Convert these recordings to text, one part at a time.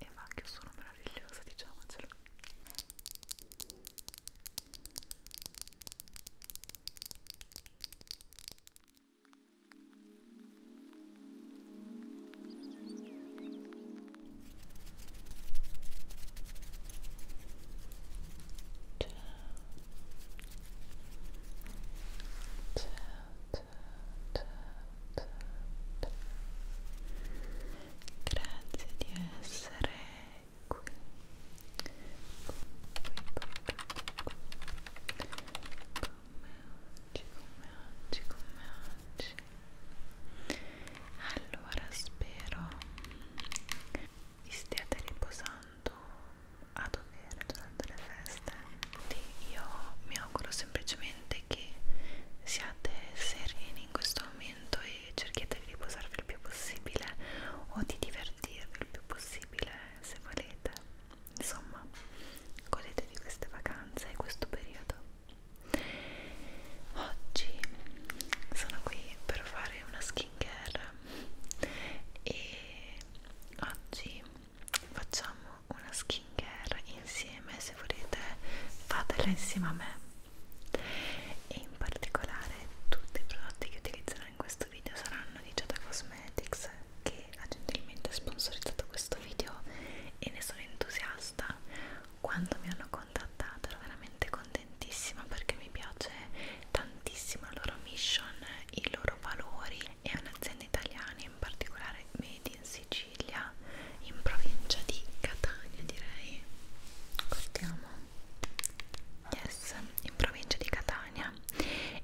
e va anche sono meravigliosa diciamocelo ciao ciao Grazie di essere qui. Qui, qui, qui. Come oggi, come oggi, come oggi. Allora spero vi stiate riposando a dovere durante le feste quindi io mi auguro semplicemente che siate sereni in questo momento e cerchiate di riposarvi il più possibile o di divertirvi il più possibile se volete insomma godete di queste vacanze e questo periodo oggi sono qui per fare una skin care e oggi facciamo una skin care insieme se volete fatela insieme a me e in particolare tutti i prodotti che utilizzerò in questo video saranno di Giada Cosmetics che ha gentilmente sponsorizzato questo video e ne sono entusiasta quando mi hanno contattato ero veramente contentissima perché mi piace tantissimo la loro mission, i loro valori è un'azienda italiana, in particolare made in Sicilia, in provincia di Catania direi. Guardiamo. Yes, in provincia di Catania.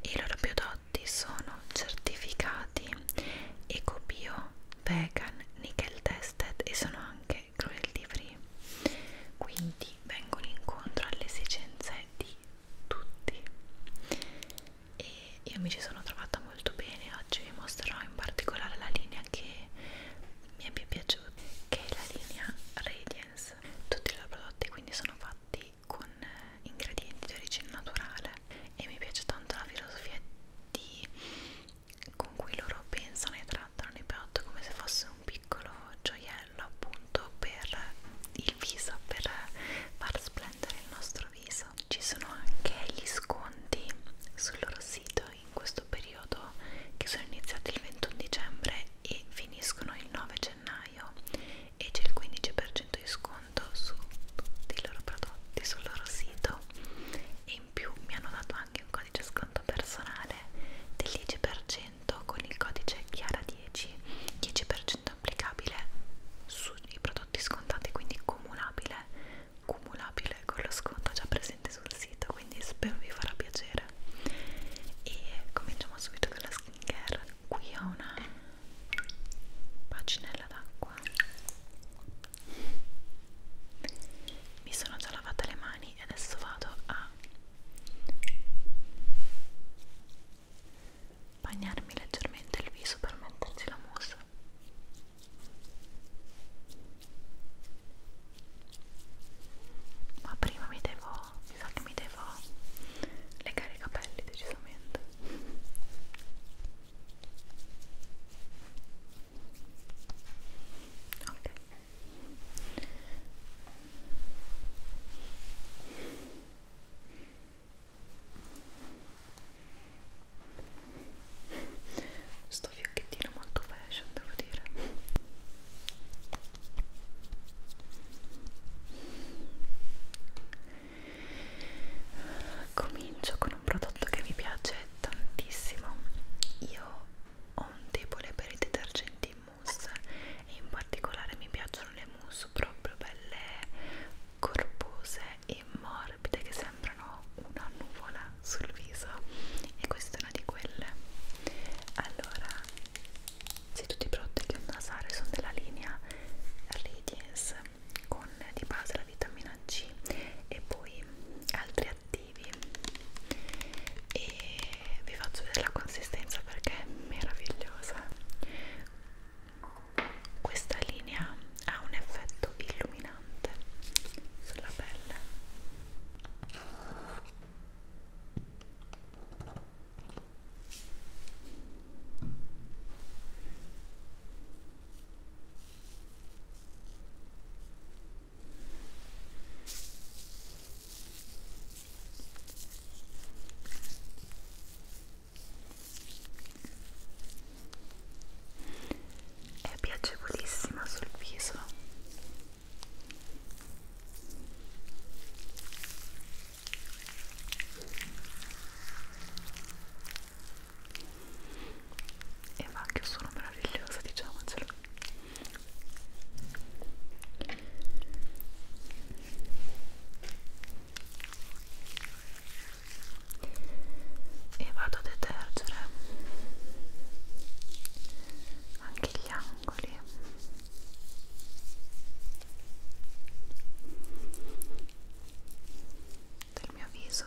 I loro prodotti sono certificati ecobio, vegan, nickel tested e sono anche cruelty free. Quindi vengono incontro alle esigenze di tutti e io mi ci sono trovata molto bene oggi vi mostrerò in particolare la linea che mi è più piaciuta che è la linea Radiance tutti i loro prodotti quindi sono fatti con eh, ingredienti di origine naturale e mi piace tanto la filosofia di, con cui loro pensano e trattano i prodotti come se fosse un piccolo gioiello pennarello appunto per il viso, per far splendere il nostro viso. Ci sono anche gli sconti sul loro sito in questo periodo che sono iniziati il 21 dicembre e finiscono il 9 gennaio e c'è il 15% di sconto su tutti i loro prodotti sul loro sito e in più mi hanno dato anche un codice sconto personale del 10% abbonamento con il codice Chiara10 10% applicabile sui prodotti scontati quindi cumulabile cumulabile con lo sconto già presente sul sito quindi spero vi farà piacere e cominciamo subito dalla skincare qui ho una paginella d'acqua mi sono già lavata le mani e adesso vado a bagnarmi leggermente il viso per metterci la mousse ma prima mi devo, mi sa che mi devo legare i capelli decisamente ok Sto fiocchettino molto fashion, devo dire. Comincio con un prodotto che mi piace tantissimo. Io ho un debole per i detergenti mousse e in particolare mi piacciono le mousse proprio belle corpose e morbide che sembrano una nuvola sul viso e questa è una di quelle allora se tutti i prodotti che ho nasare sono della linea Radiance con di base la vitamina C e poi altri attivi e vi faccio vedere la consistenza perché è meravigliosa questa linea ha un effetto illuminante sulla pelle è piacevolissima sul viso e va anche un suono meraviglioso diciamocelo e vado a detergere anche gli angoli del mio viso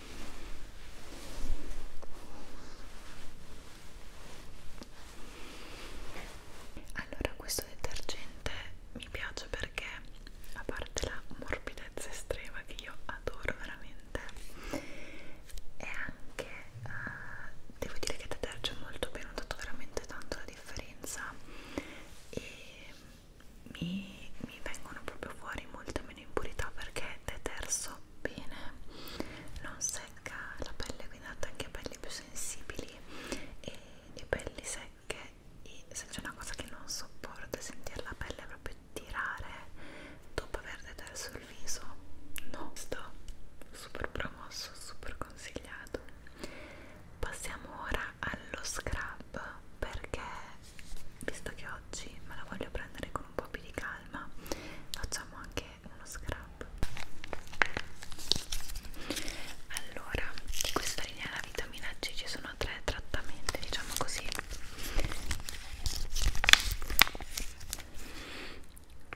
Allora questo detergente mi piace perché a parte la morbidezza estrema che io adoro veramente e anche uh, devo dire che deterge molto bene ho dato veramente tanto la differenza e mi, mi vengono proprio fuori molte meno impurità perché deterso bene, non secca la pelle, quindi anche a pelli più sensibili e, e pelli secche. E se c'è una cosa che non sopporto è sentire la pelle proprio tirare dopo aver deterso il viso, no, sto super promosso, super consigliato. Passiamo ora allo scrub perché visto che oggi me la voglio prendere con un po' più di calma facciamo anche uno scrub allora di questa linea della vitamina C ci sono tre trattamenti diciamo così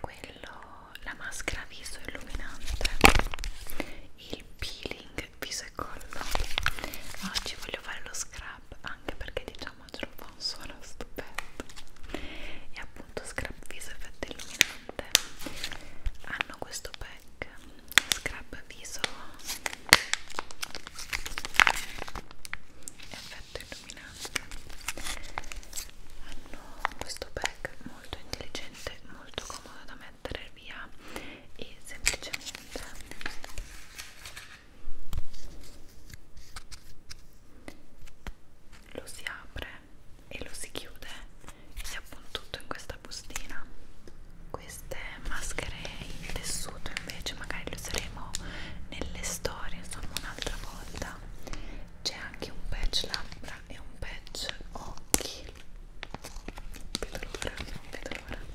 quello la maschera viso illuminante il peeling anche viso e collo oggi voglio fare lo scrub anche perché diciamocelo fa un suono stupendo e appunto scrub viso effetto illuminante hanno questo pack scrub viso effetto illuminante hanno questo pack molto intelligente molto comodo da mettere via e semplicemente lo si apre e lo si chiude e si appone tutto in questa bustina queste maschere in tessuto invece magari le useremo nelle storie insomma un'altra volta c'è anche un patch labbra e un patch occhi non vedo l'ora, non vedo l'ora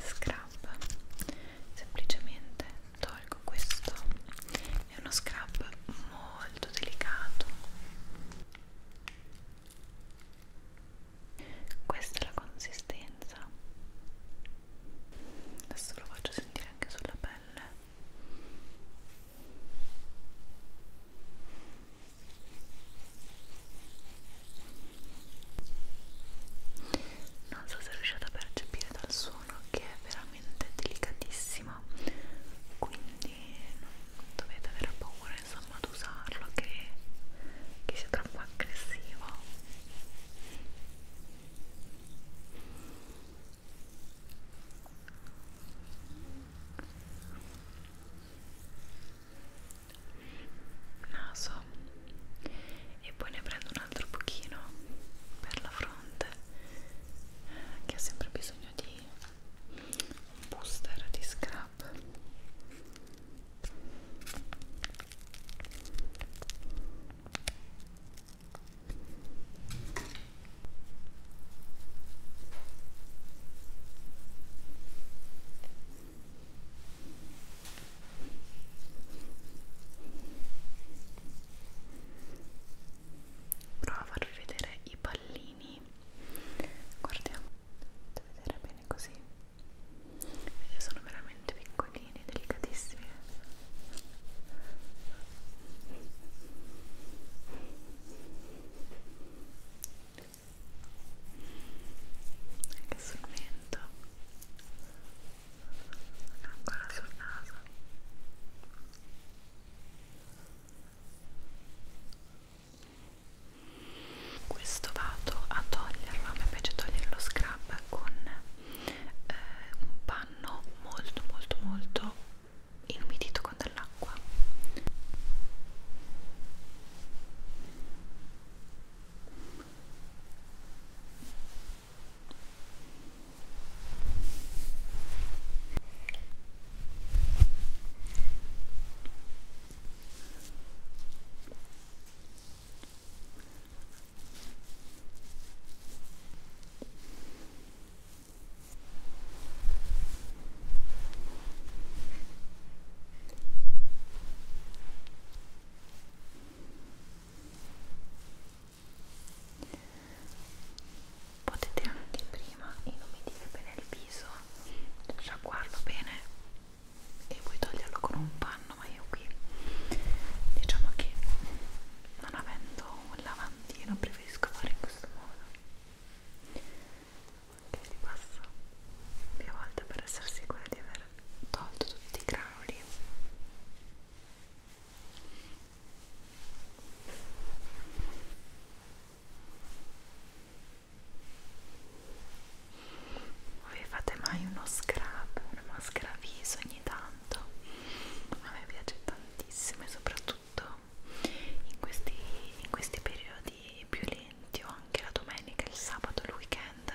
Scrub, semplicemente tolgo questo, è uno scrub molto delicato. Questa è la consistenza adesso lo faccio sentire anche sulla pelle non so se riuscite a percepire dal suono che è veramente delicatissima quindi non dovete avere paura insomma ad usarlo che, che sia troppo aggressivo naso e poi ne prendo un altro pochino per la fronte che ha sempre bisogno di un booster di scrub Prova a farvi vedere i pallini. Guardiamo, dovete vedere bene così e eh, sono veramente piccolini, delicatissimi anche sul mento ancora sul naso questo vado a toglierlo, a me piace togliere lo scrub con eh, un panno molto molto molto inumidito con dell'acqua Potete anche prima inumidire bene il viso, sciacquarlo bene e puoi toglierlo con un panno ma io qui diciamo che non avendo un lavandino preferisco fare in questo modo che li passo più volte per essere sicura di aver tolto tutti i granuli e voi fate mai uno scrub, una maschera viso ogni tanto? A me piace tantissimo e soprattutto in questi, in questi periodi più lenti o anche la domenica, il sabato, il weekend,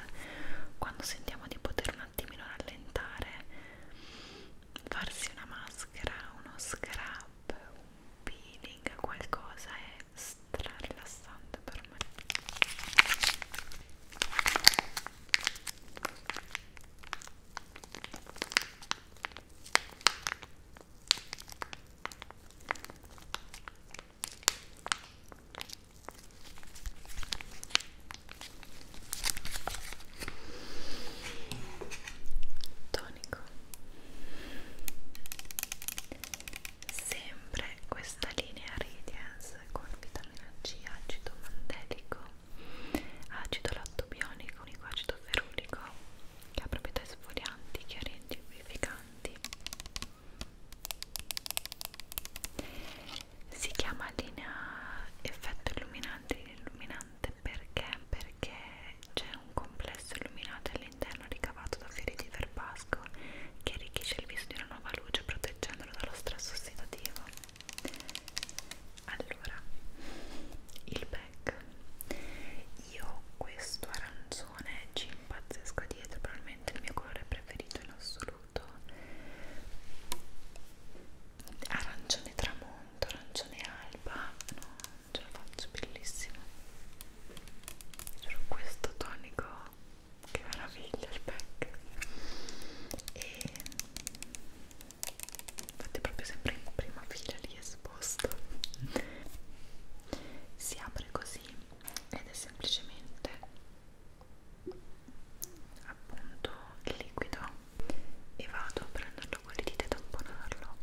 quando sentiamo di poter un attimino rallentare, farsi una maschera, uno scrub, un peeling, qualcosa è stra rilassante interessante per me tonico sempre questa linea Radiance con vitamina C, acido mandelico, acido lattobionico, unico acido ferulico che ha proprietà esfolianti, chiarenti, vivificanti si chiama linea effetto illuminante illuminante perché? perché c'è un complesso illuminante all'interno ricavato da fiori di verbata casco che arricchisce il viso di una nuova luce proteggendolo dallo stress ossidativo allora il back io questo arancione ci impazzesco dietro probabilmente il mio colore preferito in assoluto arancione tramonto arancione alba no ce la faccio bellissimo questo tonico che meraviglia il pack e infatti proprio sempre in prima fila lì esposto si apre così ed è semplicemente appunto il liquido e vado a prenderlo con le dita e tamponarlo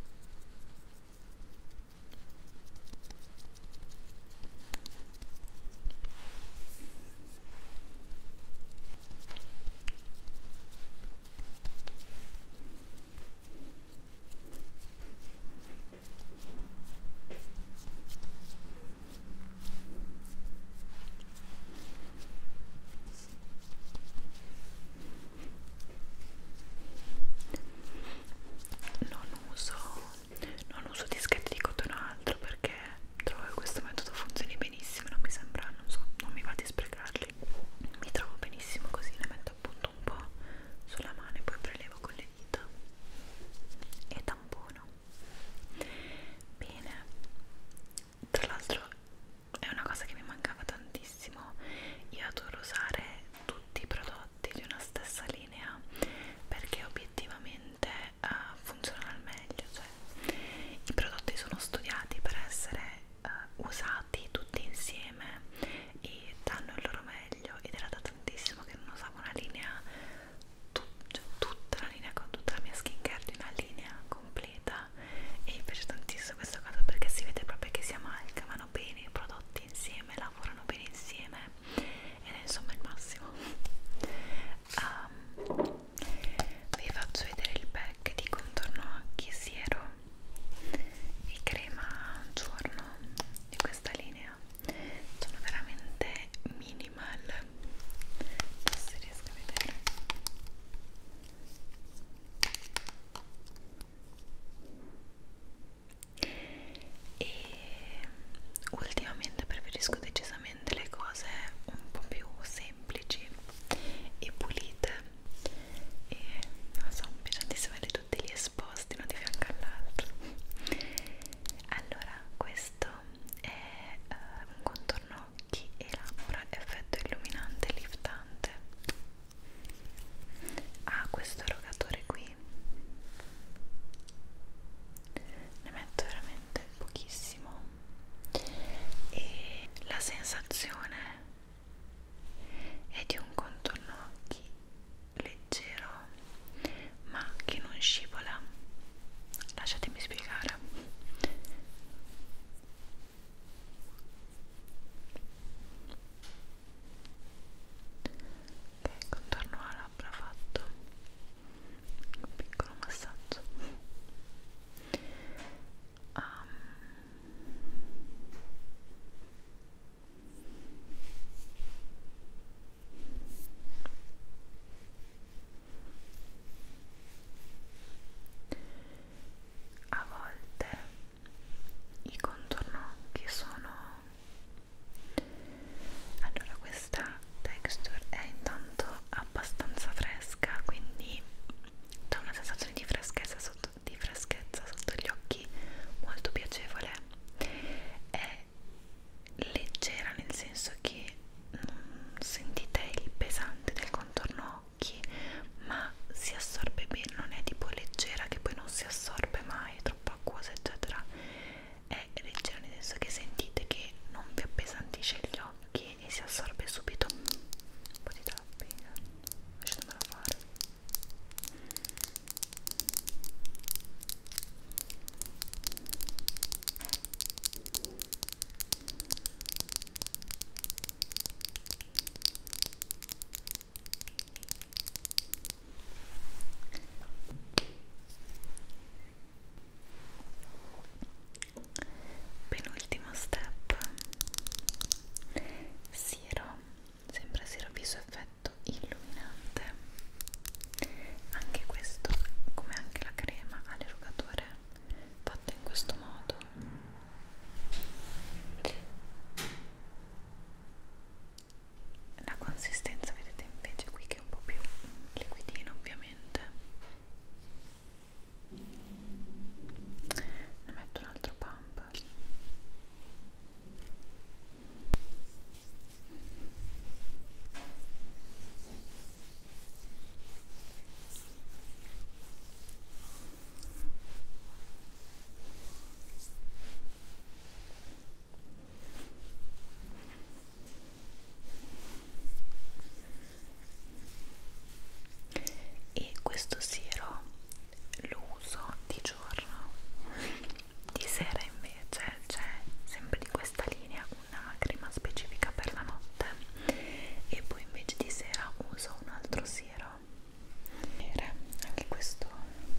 non uso non uso dischetti di cotone o altro perché trovo che questo metodo funzioni benissimo non mi sembra, non so, non mi va di sprecarli mi trovo benissimo così ne metto appunto un po' sulla mano e poi prelevo con le dita e tampono bene tra l'altro è una cosa che mi mancava tantissimo io adoro usare tutti i prodotti prodotti di una stessa linea perché obiettivamente uh, funzionano al meglio cioè i prodotti sono studiati per essere uh, usati tutti insieme e danno il loro meglio ed era da tantissimo che non usavo una linea tut cioè, tutta la linea con tutta la mia skincare di una linea completa e mi piace tantissimo questa cosa perché si vede proprio che si amalgamano bene i prodotti insieme lavorano bene insieme ed è insomma il massimo um, vi faccio vedere il pack di contorno occhi siero e crema giorno di questa linea sono veramente minimal non si riesco a vedere e ultimamente preferisco decisamente le cose un po' più semplici e pulite e non so, mi piace tantissimo vedere tutti lì esposti uno di fianco all'altro allora questo è uh, un contorno occhi e labbra effetto illuminante liftante ha ah, questo erogatore qui poi ne metto veramente pochissimo e la sensazione è di un contorno occhi leggero ma che non scivola lasciatemi spiegare ok, contorno alla labbra fatto un piccolo massaggio um, a volte i contornocchi sono allora questa texture è intanto abbastanza fresca quindi dà una sensazione di freschezza sotto, di freschezza sotto gli occhi molto piacevole è leggera nel senso che non sentite il pesante del contorno occhi ma si assorbe bene non è tipo leggera che poi non si assorbe mai è troppo acquosa eccetera è leggero, nel senso che sentite che non vi appesantisce gli occhi e si assorbe subito un po' di tapping lasciatemelo fare penultimo step siro sembra siro viso effetto illuminante anche questo come anche la crema all'erugatore fatta in questo modo la consistenza vedete invece qui che è un po' più liquidina ovviamente ne metto un altro pump e questo siero lo uso di giorno di sera invece c'è sempre di questa linea una crema specifica per la notte e poi invece di sera uso un altro siero anche questo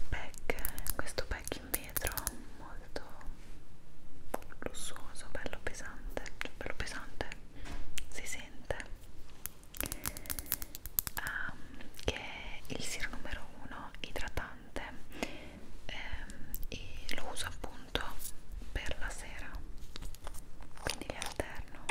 pack questo pack in vetro molto lussuoso bello pesante cioè bello pesante si sente um, che è il siero numero 1 idratante ehm, e lo uso appunto per la sera quindi li alterno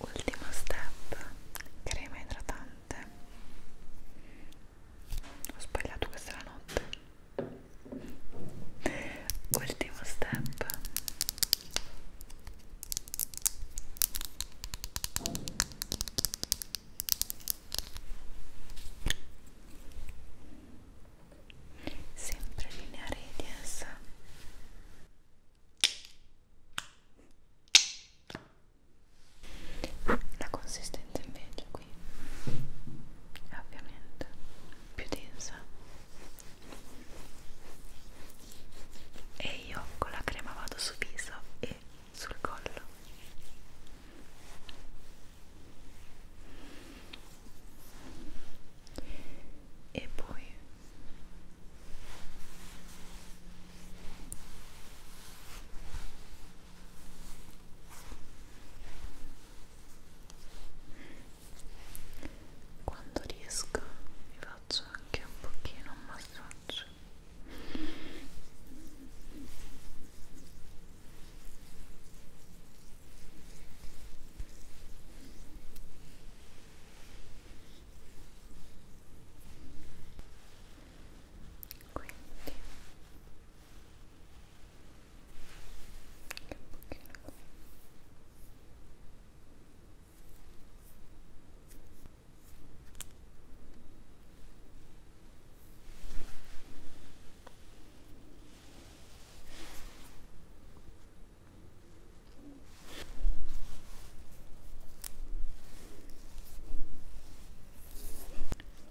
Ultimo step, crema idratante. Ho sbagliato questa la notte. Ultimo step sempre linea radius la consistenza invece qui è ovviamente più densa e io con la crema vado sul viso e sul collo e poi quando riesco mi faccio anche un pochino un massaggio quindi anche un pochino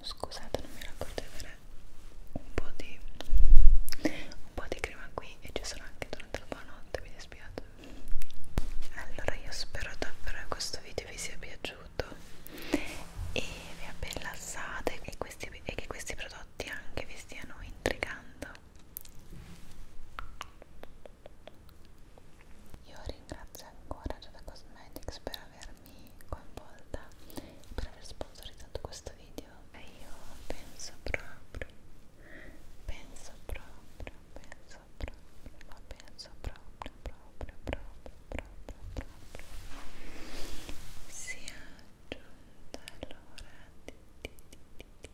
Scusate, non mi racconto avere un po' di un po' di crema qui e ci sarà anche durante la buonanotte, mi dispiace allora io spero davvero che questo video vi sia piaciuto e vi abbia rilassato e, e che questi prodotti anche vi stiano intrigando io ringrazio ancora Giada Cosmetics per avermi coinvolta per aver sponsorizzato questo video e io penso proprio penso proprio, penso proprio, ma penso proprio, proprio, proprio, proprio, proprio si è aggiunta allora passare le luci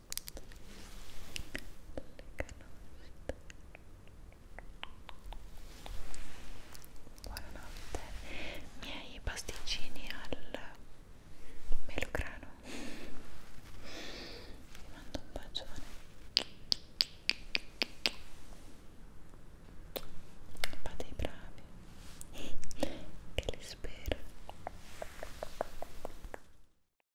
Buonanotte, miei pasticcini al melograno. Vi mando un bacione. Fate i bravi, che li spero.